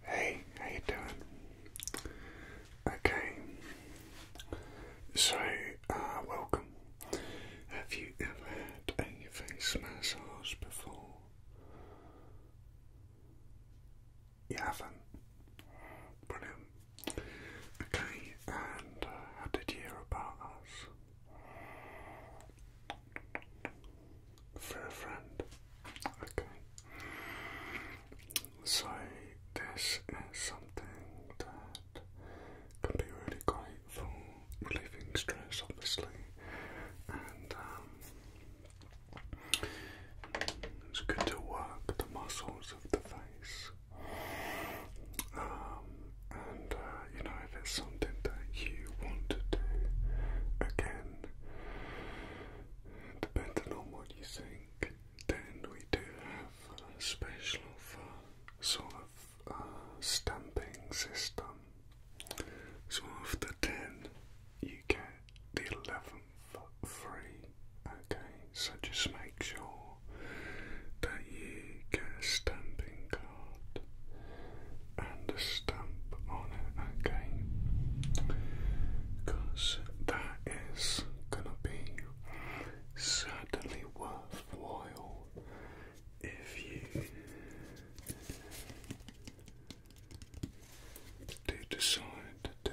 Hey, how you doing? Okay. So, uh, welcome. Have you ever had a face massage before? You haven't? Brilliant. Okay, and uh, how did you hear about us? For a friend. Okay. So this is something that can be really great for relieving stress obviously. And um, it's good to work the muscles of the face. Um, and uh, you know, if it's something that you want to do again, depending on what you think, then we do have a special sort of uh, stamping system. So after 10, you get the 11th free. Okay, so just make sure that you get a stamping card and a stamp on it again because that is gonna be certainly worthwhile if you do decide to do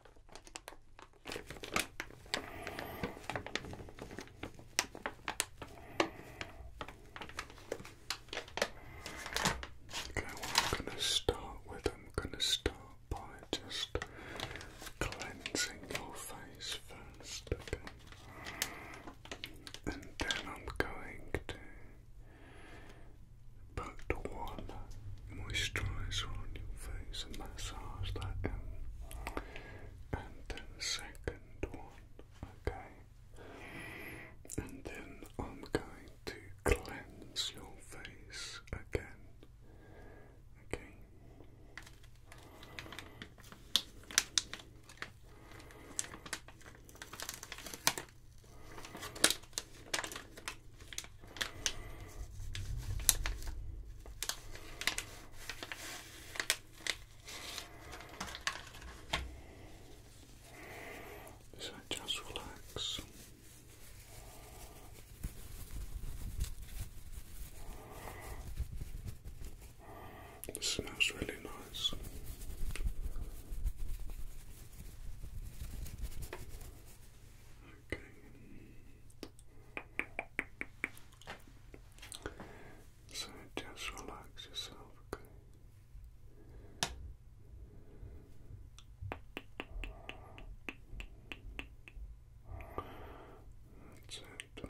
Okay, I'm going to start with, I'm going to start by just cleansing your face first, okay? And then I'm going to Back to one moisturizer on your face and massage that in, um, and then second one, okay? And then I'm going to cleanse your face again, Okay. So just relax. It smells really nice. Okay. So just relax yourself, okay? That's it.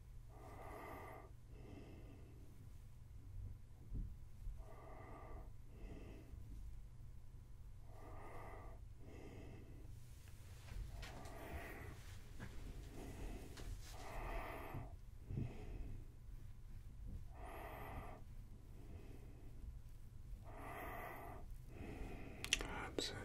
Absolutely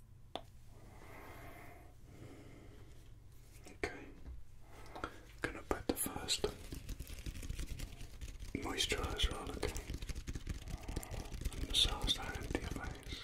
Okay, gonna put the first moisturiser on, okay? massage that into your face.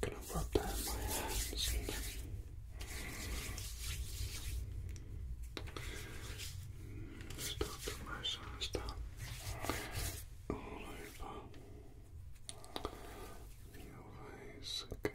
I'm Gonna rub that in my hands. Start to massage that all over your eyes, okay?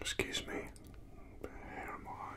Excuse me, here am I.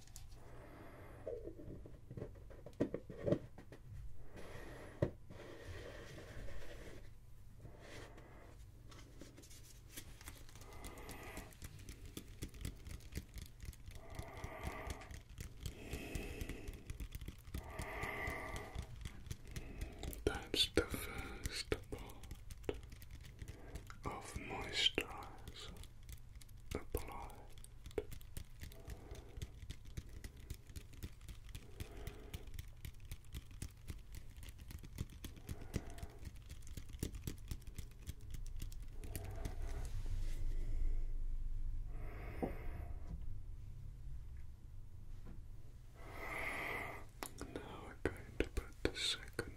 That's the first part of moisturizer applied. Now we're going to put the second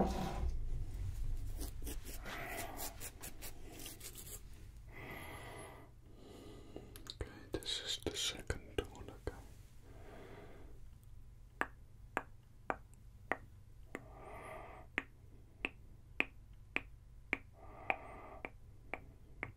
Okay, this is the second one again. Okay.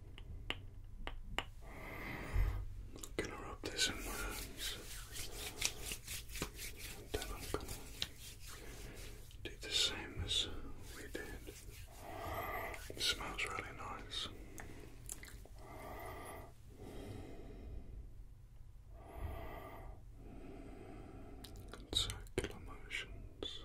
I'm gonna rub this in my eyes, and then I'm gonna do the same as we did. smells really nice. circular motions.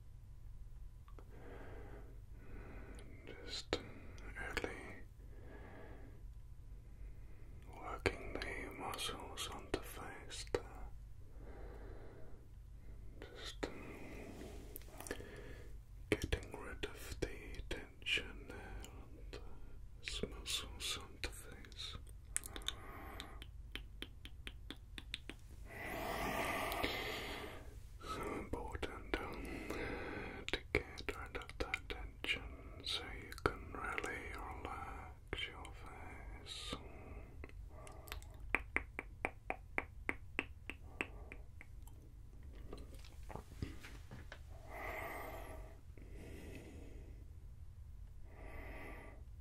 just really working the muscles on the face Just getting rid of the tension on the muscles on the face. So important um, to get rid of that tension so you can really relax your face.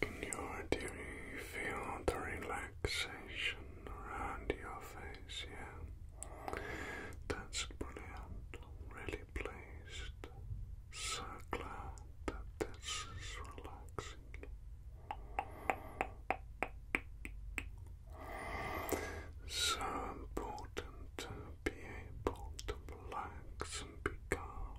Can you feel the relaxation around your face? Yeah. That's brilliant. really pleased. So glad that this is relaxing. So important to be able to relax and be calm.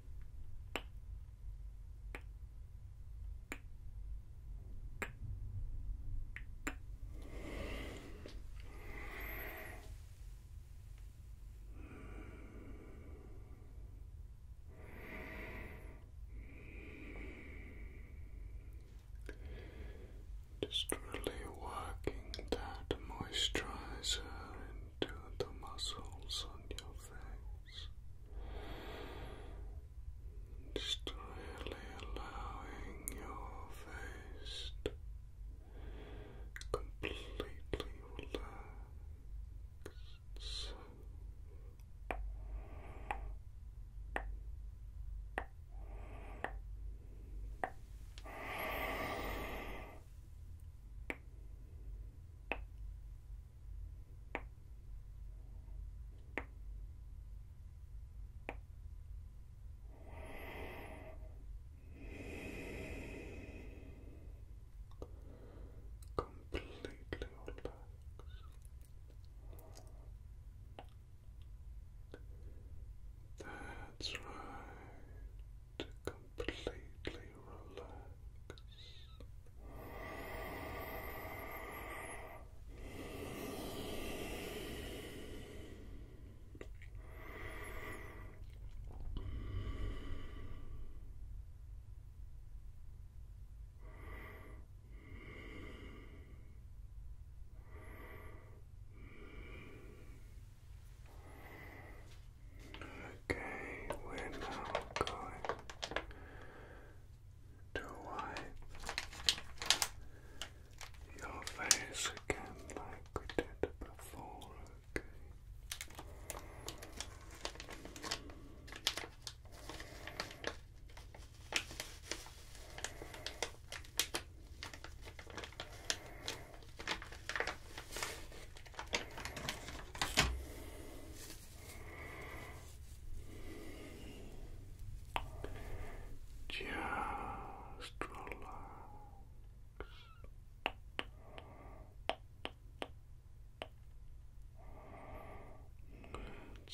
Just really working that moisturizer into the muscles on your face. Just allowing your face completely relax. Completely relax. That's right to completely relax. Okay, we're now going to wipe your face again like we did before, okay? Just relax. That's it.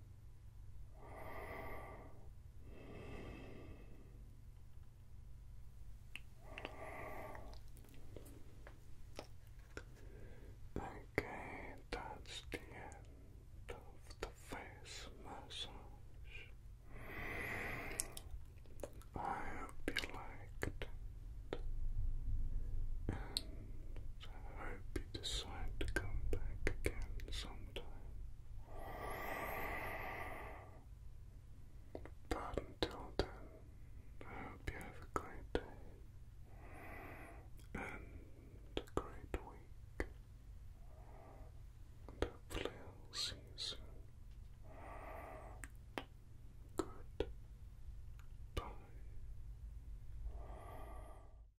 Okay, that's the end of the face massage. I hope you liked it and I hope you decide to come back again sometime. But until then, I hope you have a great day and a great week. hopefully, I'll see you soon. Good.